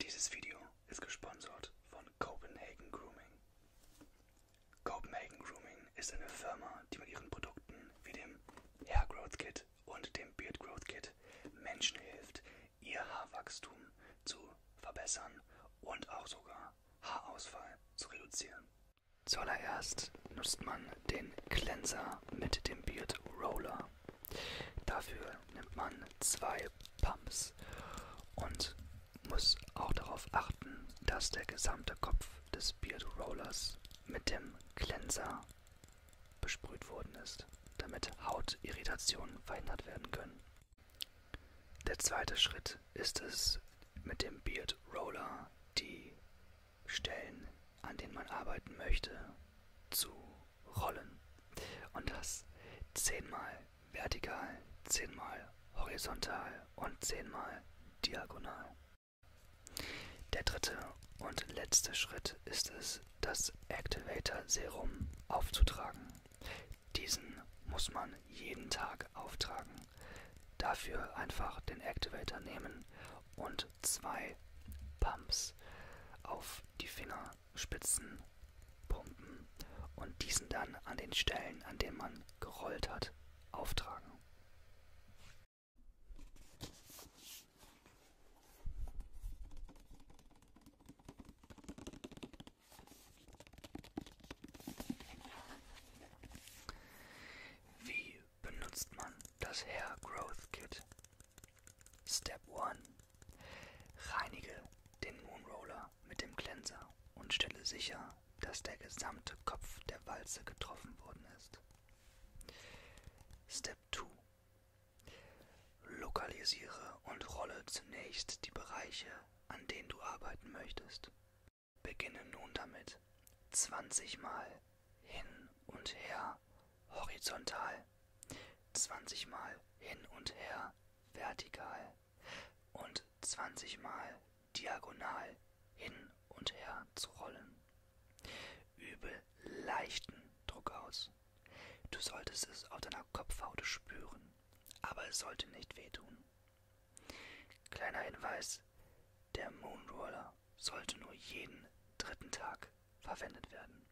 Dieses Video ist gesponsert von Copenhagen Grooming. Copenhagen Grooming ist eine Firma, die mit ihren Produkten wie dem Hair Growth Kit und dem Beard Growth Kit Menschen hilft, ihr Haarwachstum zu verbessern und auch sogar Haarausfall zu reduzieren. Zuallererst nutzt man den Cleanser mit dem Beard Roller. Dafür nimmt man zwei Pumps und muss auch darauf achten, dass der gesamte Kopf des Beard Rollers mit dem Cleanser besprüht worden ist, damit Hautirritationen verhindert werden können. Der zweite Schritt ist es, mit dem Beard Roller die Stellen, an denen man arbeiten möchte, zu rollen und das zehnmal vertikal, zehnmal horizontal und zehnmal diagonal. Der dritte und letzte Schritt ist es, das Activator Serum aufzutragen. Diesen muss man jeden Tag auftragen. Dafür einfach den Activator nehmen und zwei Pumps auf die Finger Fingerspitzen pumpen und diesen dann an den Stellen, an denen man gerollt hat, auftragen. Wie benutzt man das Hair Growth Kit? Step 1 Reinige den Moonroller mit dem Cleanser und stelle sicher, dass der gesamte Kopf der Walze getroffen worden ist. Step 2. Lokalisiere und rolle zunächst die Bereiche, an denen du arbeiten möchtest. Beginne nun damit 20 Mal hin und her horizontal 20 mal hin und her vertikal und 20 mal diagonal hin und her zu rollen. Übe leichten Druck aus. Du solltest es auf deiner Kopfhaut spüren, aber es sollte nicht wehtun. Kleiner Hinweis, der Moonroller sollte nur jeden dritten Tag verwendet werden.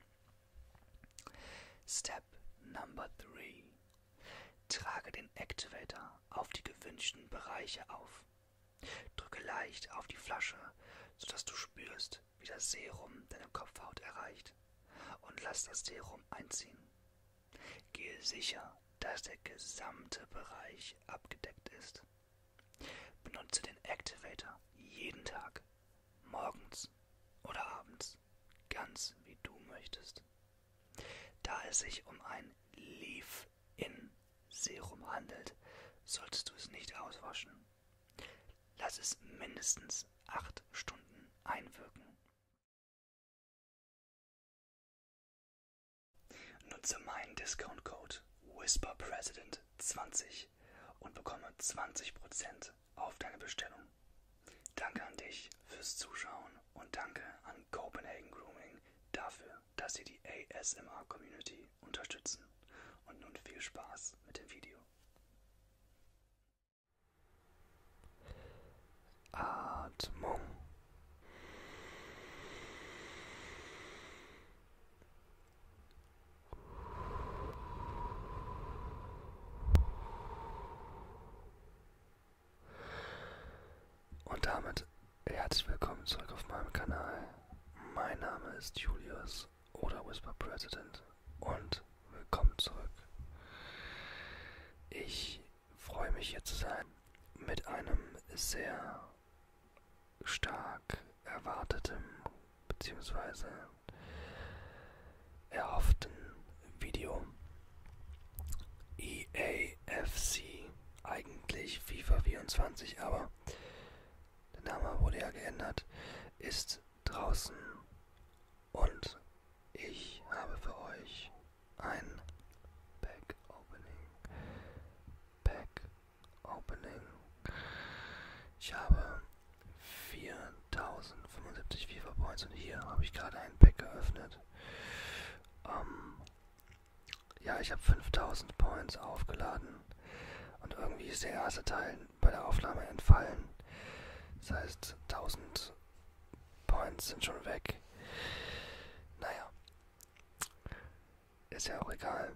Step Number 3. Trage den Activator auf die gewünschten Bereiche auf. Drücke leicht auf die Flasche, sodass du spürst, wie das Serum deine Kopfhaut erreicht und lass das Serum einziehen. Gehe sicher, dass der gesamte Bereich abgedeckt ist. Benutze den Activator jeden Tag morgens oder abends, ganz wie du möchtest. Da es sich um ein Leave-In-Serum handelt, solltest du es nicht auswaschen. Lass es mindestens acht Stunden einwirken. Nutze meinen Discount-Code WhisperPresident20 und bekomme 20% Antwort auf deine Bestellung. Danke an dich fürs Zuschauen und danke an Copenhagen Grooming dafür, dass sie die ASMR Community unterstützen. Und nun viel Spaß mit dem Video. Atmung. Und damit herzlich willkommen zurück auf meinem Kanal. Mein Name ist Julius oder Whisper President und willkommen zurück. Ich freue mich hier zu sein mit einem sehr stark erwarteten beziehungsweise erhofften Video EAFC, eigentlich FIFA 24, aber der Name wurde ja geändert, ist draußen und ich habe für euch ein Pack Opening. Pack Opening. Ich habe 4075 FIFA Points und hier habe ich gerade einen Pack geöffnet. Ähm, ja, ich habe 5000 Points aufgeladen und irgendwie ist der erste Teil bei der Aufnahme entfallen. Das heißt, 1000 Points sind schon weg. Naja, ist ja auch egal.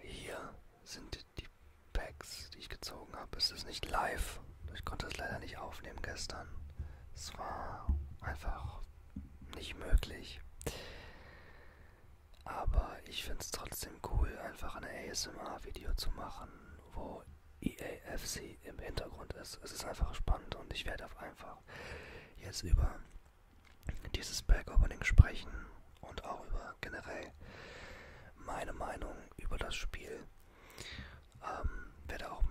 Hier sind die Packs, die ich gezogen habe. Es ist nicht live. Ich konnte es leider nicht aufnehmen gestern. Es war einfach nicht möglich. Aber ich finde es trotzdem cool, einfach ein ASMR-Video zu machen, wo EAFC im Hintergrund ist. Es ist einfach spannend und ich werde auf einfach jetzt über dieses Back-Opening sprechen und auch über generell meine Meinung über das Spiel. Ähm, werde auch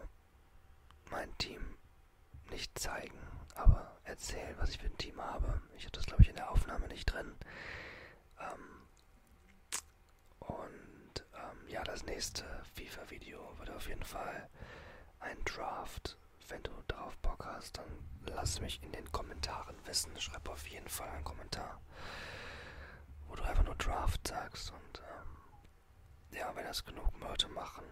mein Team nicht zeigen, aber erzählen, was ich für ein Team habe. Ich habe das, glaube ich, in der Aufnahme nicht drin. Ähm, und ähm, ja, das nächste FIFA-Video wird auf jeden Fall ein Draft. Wenn du darauf Bock hast, dann lass mich in den Kommentaren drin wissen, schreib auf jeden Fall einen Kommentar, wo du einfach nur Draft sagst. Und ähm, ja, wenn das genug Leute machen,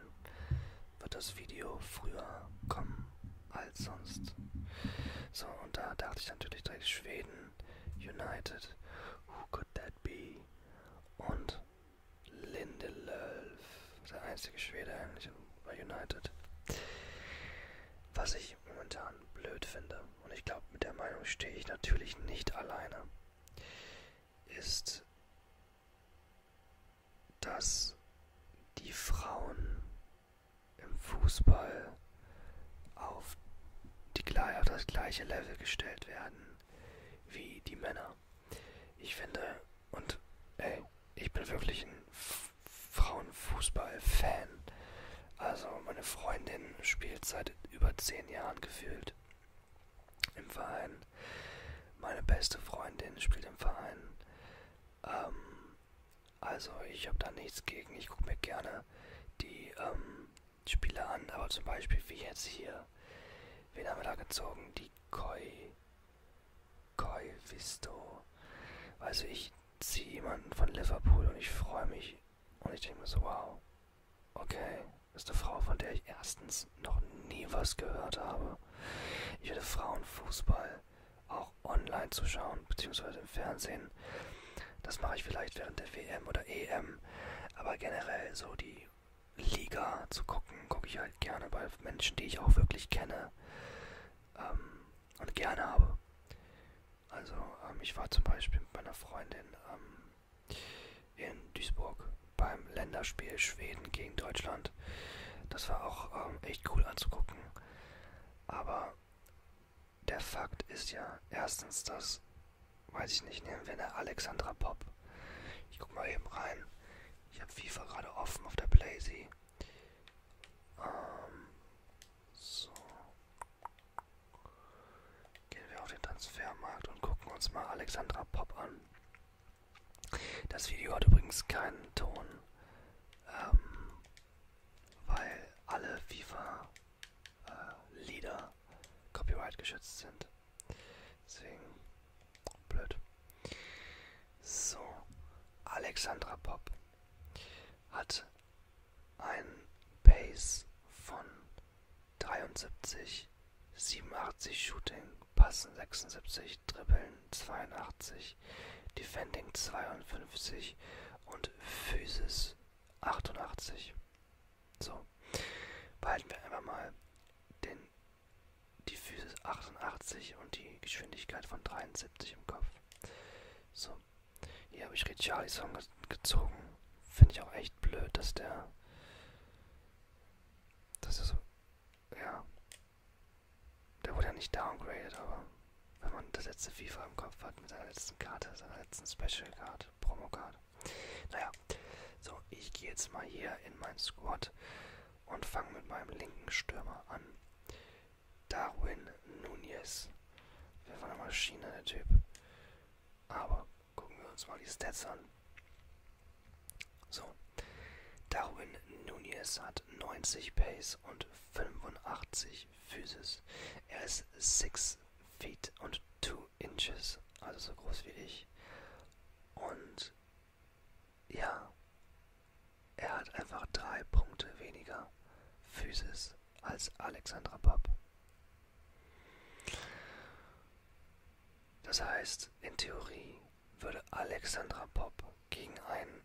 wird das Video früher kommen als sonst. So, und da dachte ich natürlich direkt Schweden, United, who could that be? Und Lindelöf, der einzige Schwede eigentlich bei United. Was ich ich momentan blöd finde, und ich glaube, mit der Meinung stehe ich natürlich nicht alleine, ist, dass die Frauen im Fußball auf, die, auf das gleiche Level gestellt werden wie die Männer. Ich finde, und ey, ich bin wirklich ein Frauenfußball-Fan. Also meine Freundin spielt seit über zehn Jahren gefühlt im Verein. Meine beste Freundin spielt im Verein. Ähm, also ich habe da nichts gegen. Ich gucke mir gerne die ähm, Spiele an. Aber zum Beispiel wie jetzt hier. Wen haben wir da gezogen? Die Koi. Koi Visto. Also ich ziehe jemanden von Liverpool und ich freue mich. Und ich denke mir so, wow, okay, das ist eine Frau, von der ich erstens noch nie was gehört habe. Ich hätte Frauenfußball auch online zu schauen, beziehungsweise im Fernsehen. Das mache ich vielleicht während der WM oder EM. Aber generell so die Liga zu gucken, gucke ich halt gerne bei Menschen, die ich auch wirklich kenne. Ähm, und gerne habe. Also ähm, ich war zum Beispiel mit meiner Freundin ähm, in Duisburg beim Länderspiel Schweden gegen Deutschland. Das war auch ähm, echt cool anzugucken. Aber der Fakt ist ja erstens, dass, weiß ich nicht, nehmen wir eine Alexandra Pop. Ich guck mal eben rein. Ich habe FIFA gerade offen auf der Playsee. Ähm, so. Gehen wir auf den Transfermarkt und gucken uns mal Alexandra Pop an. Das Video hat übrigens keinen Ton, ähm, weil alle FIFA-Lieder äh, Copyright geschützt sind. Deswegen blöd. So, Alexandra Pop hat einen Pace von 73, 87 Shooting, Passen 76, Dribbeln 82, Defending 52 und Physis 88. So, behalten wir einfach mal den, die Physis 88 und die Geschwindigkeit von 73 im Kopf. So, hier habe ich Richarlison ge gezogen. Finde ich auch echt blöd, dass der. Das ist. Ja. Der wurde ja nicht downgraded, aber wenn man das letzte FIFA im Kopf hat mit seiner letzten Karte, seiner letzten Special Card, Promo Card. Naja. So, ich gehe jetzt mal hier in mein Squad und fange mit meinem linken Stürmer an. Darwin Nunez. Der war eine Maschine, der Typ. Aber gucken wir uns mal die Stats an. So. Darwin Nunez hat 90 Pace und 85 Physis. Er ist 6 feet und 2 inches, also so groß wie ich. Und ja, er hat einfach drei Punkte weniger Physis als Alexandra Papp. Das heißt, in Theorie würde Alexandra Pop gegen einen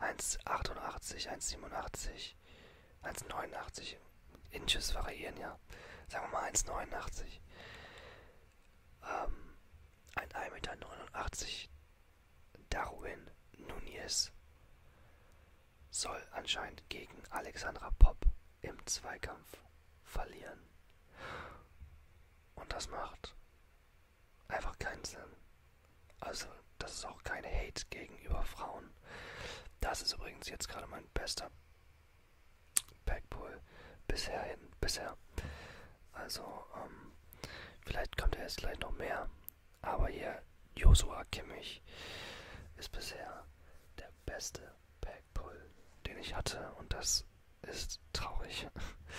1,88, 1,87, 1,89 Inches variieren ja, sagen wir mal 1,89, ähm, ein 1,89 Meter Darwin Núñez soll anscheinend gegen Alexandra Popp im Zweikampf verlieren. Und das macht einfach keinen Sinn. Also, das ist auch keine Hate gegenüber Frauen. Das ist übrigens jetzt gerade mein bester Backpull bisher hin, bisher. Also, ähm, vielleicht kommt ja jetzt gleich noch mehr. Aber hier, Joshua Kimmich ist bisher der beste Backpull, den ich hatte. Und das ist traurig.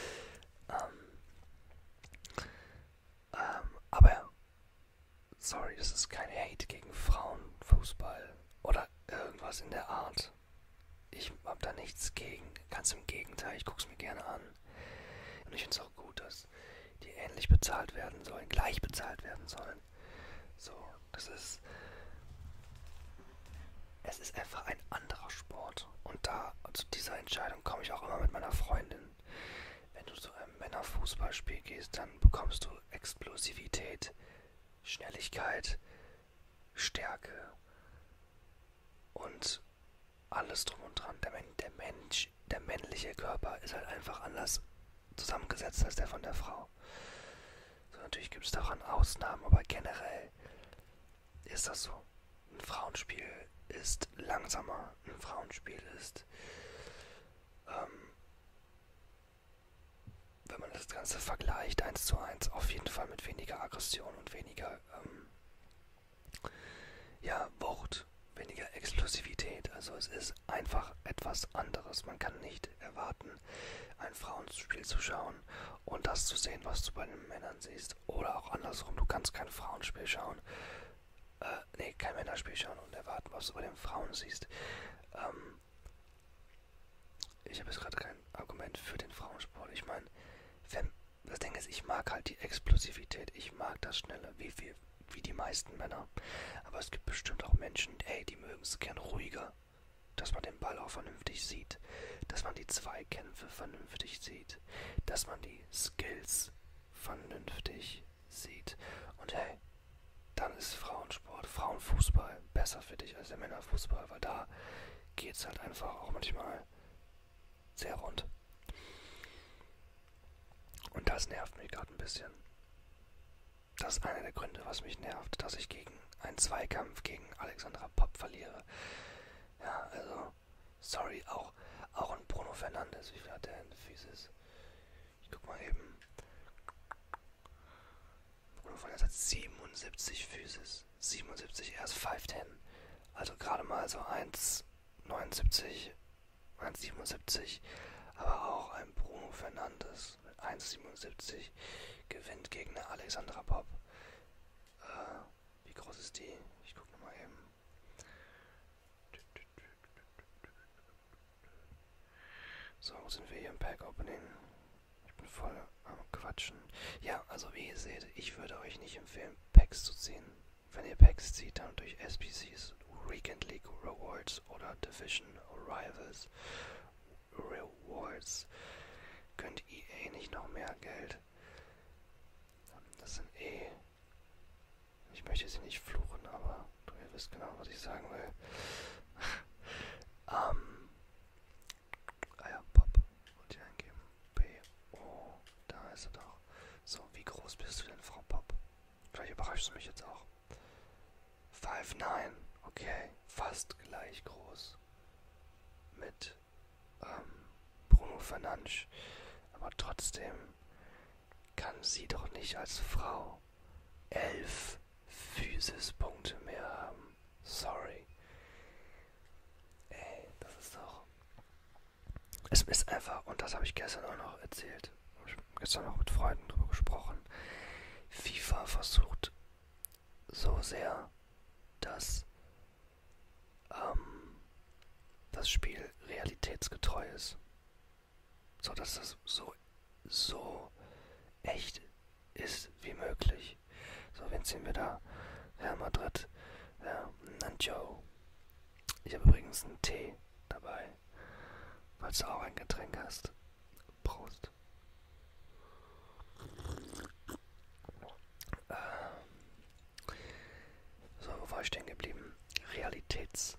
ähm, ähm, aber, sorry, das ist kein Hate gegen Frauenfußball oder irgendwas in der Art. Ich hab da nichts gegen. Ganz im Gegenteil, ich guck's mir gerne an. Und ich finde es auch gut, dass die ähnlich bezahlt werden sollen, gleich bezahlt werden sollen. So, das ist. Es ist einfach ein anderer Sport. Und da zu dieser Entscheidung komme ich auch immer mit meiner Freundin. Wenn du zu einem Männerfußballspiel gehst, dann bekommst du Explosivität, Schnelligkeit, Stärke, und alles drum und dran. Der, Men der Mensch, der männliche Körper ist halt einfach anders zusammengesetzt als der von der Frau. So, natürlich gibt es daran Ausnahmen, aber generell ist das so. Ein Frauenspiel ist langsamer, ein Frauenspiel ist, ähm, wenn man das Ganze vergleicht, eins zu eins, auf jeden Fall mit weniger Aggression und weniger ähm, ja, Wucht, weniger Explosivität. Also es ist einfach etwas anderes. Man kann nicht erwarten, ein Frauenspiel zu schauen und das zu sehen, was du bei den Männern siehst. Oder auch andersrum, du kannst kein Frauenspiel schauen. Äh, nee, kein Männerspiel schauen und erwarten, was du bei den Frauen siehst. Ähm, ich habe jetzt gerade kein Argument für den Frauensport. Ich meine, wenn das Ding ist, ich mag halt die Explosivität, ich mag das Schnelle, wie, wie, wie die meisten Männer. Aber es gibt bestimmt auch Menschen, ey, die mögen es gern ruhiger. Dass man den Ball auch vernünftig sieht, dass man die Zweikämpfe vernünftig sieht, dass man die Skills vernünftig sieht. Und hey, dann ist Frauensport, Frauenfußball besser für dich als der Männerfußball, weil da geht's halt einfach auch manchmal sehr rund. Und das nervt mich gerade ein bisschen. Das ist einer der Gründe, was mich nervt, dass ich gegen einen Zweikampf gegen Alexandra Popp verliere. Ja, also, sorry, auch, auch ein Bruno Fernandes, wie viel hat der denn Physis? Ich guck mal eben. Bruno Fernandes hat 77 Physis. 1,77, er ist 5'10. Also gerade mal so 1,79, 1,77. Aber auch ein Bruno Fernandes mit 1,77 gewinnt gegen eine Alexandra Pop. Äh, wie groß ist die? Ich gucke nochmal eben. So, sind wir hier im Pack Opening? Ich bin voll am Quatschen. Ja, also wie ihr seht, ich würde euch nicht empfehlen, Packs zu ziehen. Wenn ihr Packs zieht, dann durch SPCs, Weekend League Rewards oder Division Rivals Rewards könnt EA eh nicht noch mehr Geld. Das sind eh. Ich möchte sie nicht fluchen, aber du ihr wisst genau, was ich sagen will. ähm. Ah ja, Pop. Wollte ich eingeben. B, O. Da ist er doch. So, wie groß bist du denn, Frau Pop? Vielleicht überraschst du mich jetzt auch. 5'9. Okay, fast gleich groß. Mit ähm, Bruno Fernandes. Aber trotzdem kann sie doch nicht als Frau elf Physispunkte mehr haben. Sorry. Ey, das ist doch es ist einfach, und das habe ich gestern auch noch erzählt, ich gestern noch mit Freunden drüber gesprochen, FIFA versucht so sehr, dass ähm, das Spiel realitätsgetreu ist. So dass das so, so echt ist wie möglich. So, wen ziehen wir da? Real Madrid ja, ähm, Nancho. Ich habe übrigens einen Tee dabei, falls du auch ein Getränk hast. Prost. Ähm, so, wo war ich stehen geblieben? Realitätstreu.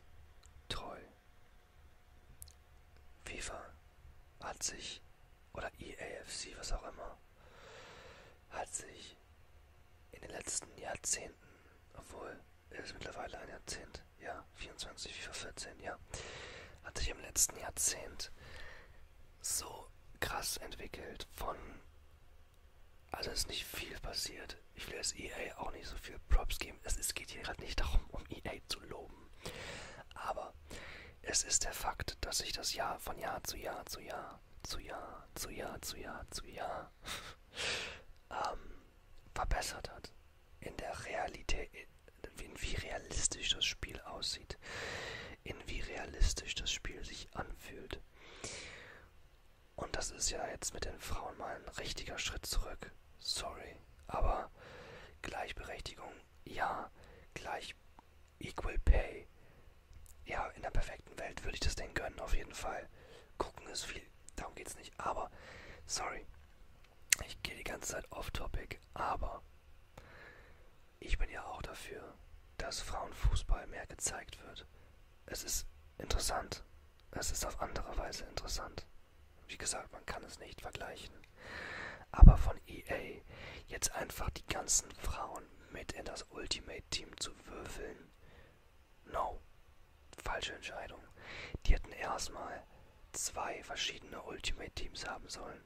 FIFA hat sich, oder EAFC, was auch immer, hat sich sich in den letzten Jahrzehnten, obwohl es ist mittlerweile ein Jahrzehnt, ja, 24, 4, 14, ja, hat sich im letzten Jahrzehnt so krass entwickelt von, also es ist nicht viel passiert. Ich will jetzt EA auch nicht so viel Props geben. Es, es geht hier gerade nicht darum, um EA zu loben. Aber es ist der Fakt, dass sich das Jahr von Jahr zu Jahr zu Jahr zu Jahr zu Jahr zu Jahr zu Jahr ähm, verbessert hat. In der Realität, in wie realistisch das Spiel aussieht, in wie realistisch das Spiel sich anfühlt. Und das ist ja jetzt mit den Frauen mal ein richtiger Schritt zurück. Sorry. Aber Gleichberechtigung, ja. Gleich Equal Pay, ja, in der perfekten Welt würde ich das Ding gönnen, auf jeden Fall. Gucken ist viel, darum geht's nicht. Aber, sorry, ich gehe die ganze Zeit off-topic, aber ich bin ja auch dafür, dass Frauenfußball mehr gezeigt wird. Es ist interessant. Es ist auf andere Weise interessant. Wie gesagt, man kann es nicht vergleichen. Aber von EA jetzt einfach die ganzen Frauen Pokémon mit in das Ultimate Team zu würfeln. No. Falsche Entscheidung. Die hätten erstmal zwei verschiedene Ultimate Teams haben sollen.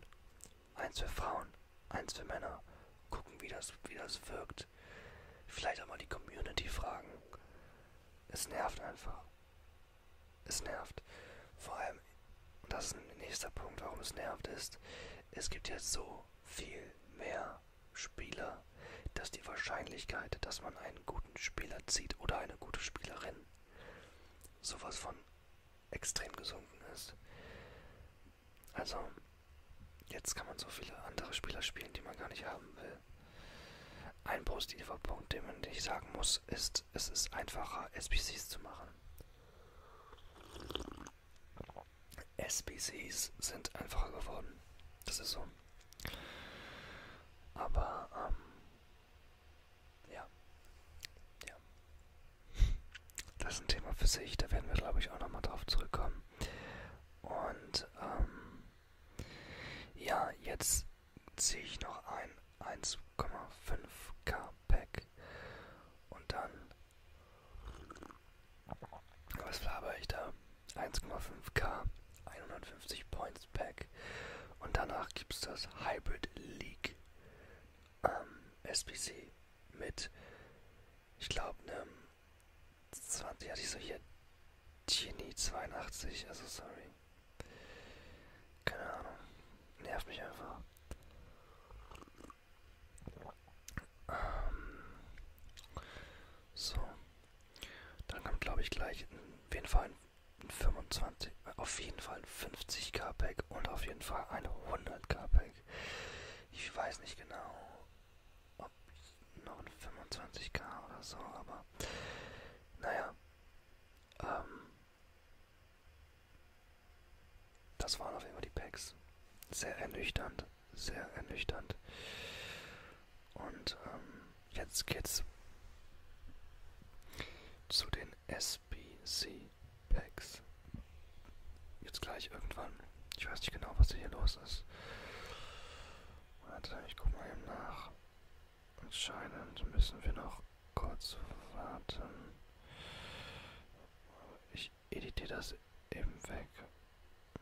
Eins für Frauen, eins für Männer. Gucken, wie das, wie das wirkt. Vielleicht auch mal die Community fragen. Es nervt einfach. Es nervt. Vor allem, und das ist ein nächster Punkt, warum es nervt, ist, es gibt jetzt so viel mehr Spieler, dass die Wahrscheinlichkeit, dass man einen guten Spieler zieht oder eine gute Spielerin, sowas von extrem gesunken ist. Also, jetzt kann man so viele andere Spieler spielen, die man gar nicht haben will. Ein positiver Punkt, den man nicht sagen muss, ist, es ist einfacher, SPCs zu machen. SBCs sind einfacher geworden. Das ist so. Aber, ähm, ja. Ja. Das ist ein Thema für sich, da werden wir, glaube ich, auch nochmal drauf zurückkommen. Und, ähm, ja, jetzt ziehe ich noch ein 1,5k Pack. Und dann was laber ich da? 1,5K, 150 Points Pack. Und danach gibt es das Hybrid League ähm, SPC mit, ich glaube, ne, einem 20, hatte ich so hier Genie 82, also sorry. Keine Ahnung, nervt mich einfach. Ähm, so. Dann kommt, glaube ich, gleich auf jeden Fall ein 25, auf jeden Fall 50k Pack und auf jeden Fall ein 100k Pack. Ich weiß nicht genau, ob noch ein 25k oder so, aber naja. Ähm, das waren auf jeden Fall die Packs. Sehr ernüchternd, sehr ernüchternd. Und ähm, jetzt geht's zu den SBC Packs. Jetzt gleich irgendwann. Ich weiß nicht genau, was hier los ist. Warte, ich guck mal eben nach. Anscheinend müssen wir noch kurz warten. Ich editiere das eben weg.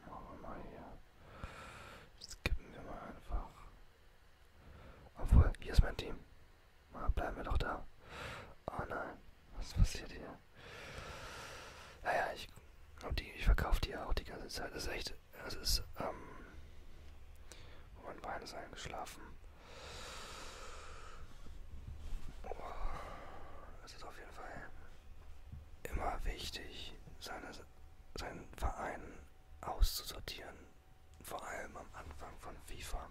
Machen wir mal hier. Skippen wir mal einfach. Obwohl, hier ist mein Team. Mal bleiben wir doch da. Oh nein, was passiert hier? Naja, ich, die, ich verkaufe die ja auch die ganze Zeit. Das ist echt, das ist, ähm, mein Bein ist eingeschlafen es ist auf jeden Fall immer wichtig, seine, seinen Verein auszusortieren. Vor allem am Anfang von FIFA.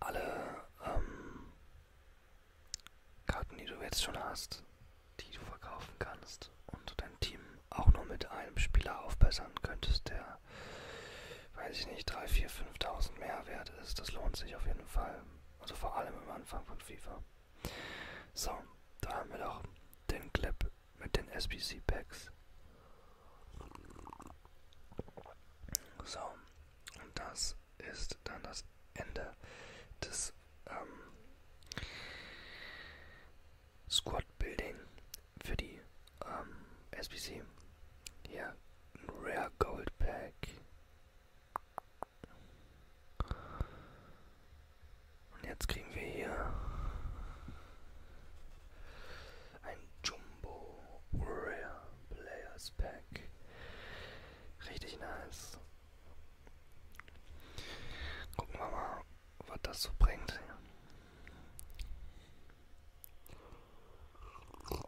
Alle ähm, Karten, die du jetzt schon hast, die du verkaufen kannst und dein Team auch nur mit einem Spieler aufbessern könntest, der weiß ich nicht, 3, 4, 5.000 mehr wert ist. Das lohnt sich auf jeden Fall. Also vor allem am Anfang von FIFA. So, da haben wir doch den Clip mit den SBC Packs. So, und das ist dann das Ende des ähm, Squad Building für die ähm, SBC. Hier, ein Rare Gold Pack. Und jetzt kriegen wir hier ein Jumbo Rare Players Pack. Richtig nice. Gucken wir mal, was das so bringt.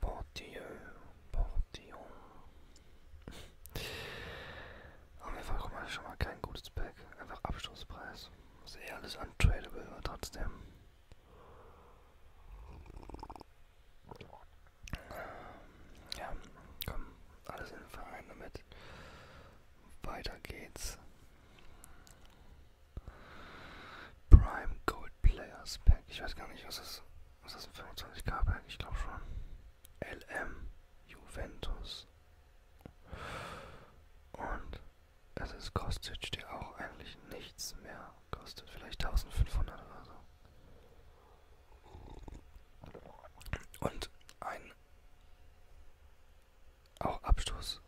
Panthéon, Panthéon. Auf jeden Fall kommt schon mal kein gutes Pack. Einfach Abschlusspreis. Ist eh alles untradable, aber trotzdem. Ja, komm, alles in den Verein damit. Weiter geht's. Prime Gold Players Pack. Ich weiß gar nicht, was das was ist das ein 25k Berg? Ich glaube schon. LM Juventus. Und es ist Kostic, der auch eigentlich nichts mehr kostet. Vielleicht 1500 oder so. Und ein auch Abstoß.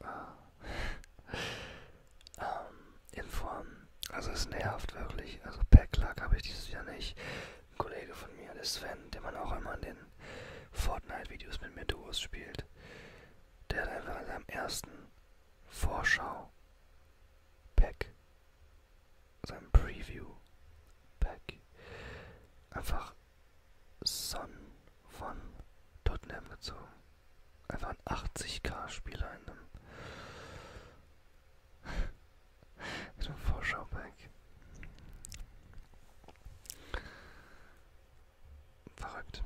Äh, ähm, in Form. Also es nervt wirklich. Also Packlack habe ich dieses Jahr nicht. Ein Kollege von mir, der Sven, den man auch immer in den Fortnite-Videos mit mir Duos spielt, der hat einfach in seinem ersten Vorschau Pack, seinem Preview Pack, einfach Son von Tottenham gezogen. Einfach ein 80k-Spieler in einem. mit einem Vorschau-Pack. Verrückt.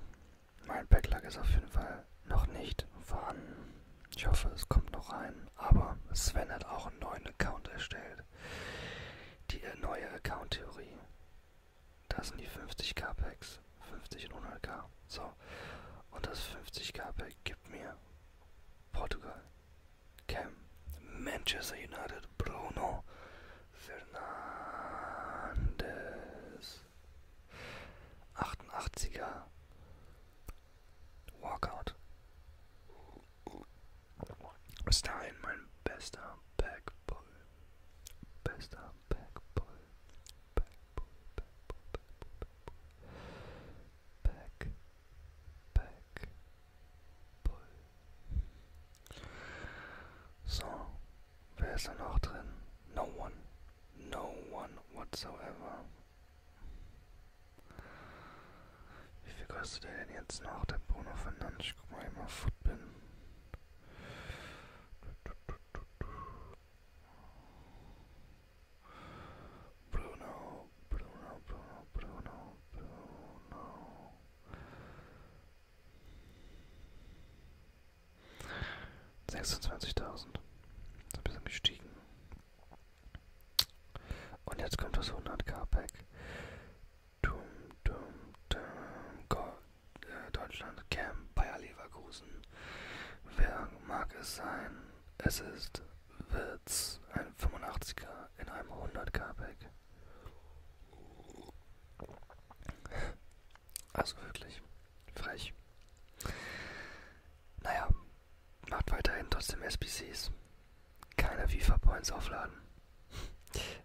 Mein Backlog ist auf jeden Fall noch nicht vorhanden. Ich hoffe, es kommt noch rein. Aber Sven hat auch einen neuen Account erstellt. Die neue Account-Theorie. Da sind die 50k-Packs. 50 und 100k. So. Und das 50k-Pack gibt mir Portugal, Cam, Manchester United, Bruno, Fernandes, 88er, Walkout, ist dahin mein bester Backball, bester Backball, back, back, pull. So, wer ist da noch drin? No one. No one whatsoever. Wie viel kostet der denn jetzt noch, der Bruno Fernandes? Ich guck mal, immer foot bin. Bruno, Bruno, Bruno, Bruno, Bruno. Sechsundzwanzigtausend. Ist ein bisschen gestiegen. Und jetzt kommt das 100k Pack. Dum, dum, dum. Go, äh, Deutschland, Cam, Bayer Leverkusen. Wer mag es sein? Es ist Witz, ein 85er in einem 100k Pack. Also wirklich frech. Naja, macht weiterhin trotzdem SBCs. Keine FIFA-Points aufladen.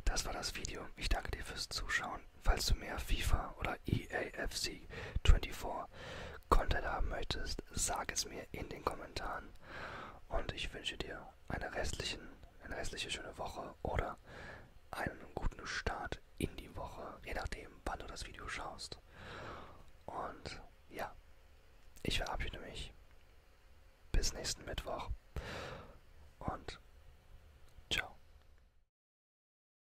Das war das Video. Ich danke dir fürs Zuschauen anschauen, falls du mehr FIFA oder EAFC 24 Content haben möchtest, sag es mir in den Kommentaren. Und ich wünsche dir eine, restlichen, eine restliche schöne Woche oder einen guten Start in die Woche, je nachdem, wann du das Video schaust. Und ja, ich verabschiede mich. Bis nächsten Mittwoch. Und ciao.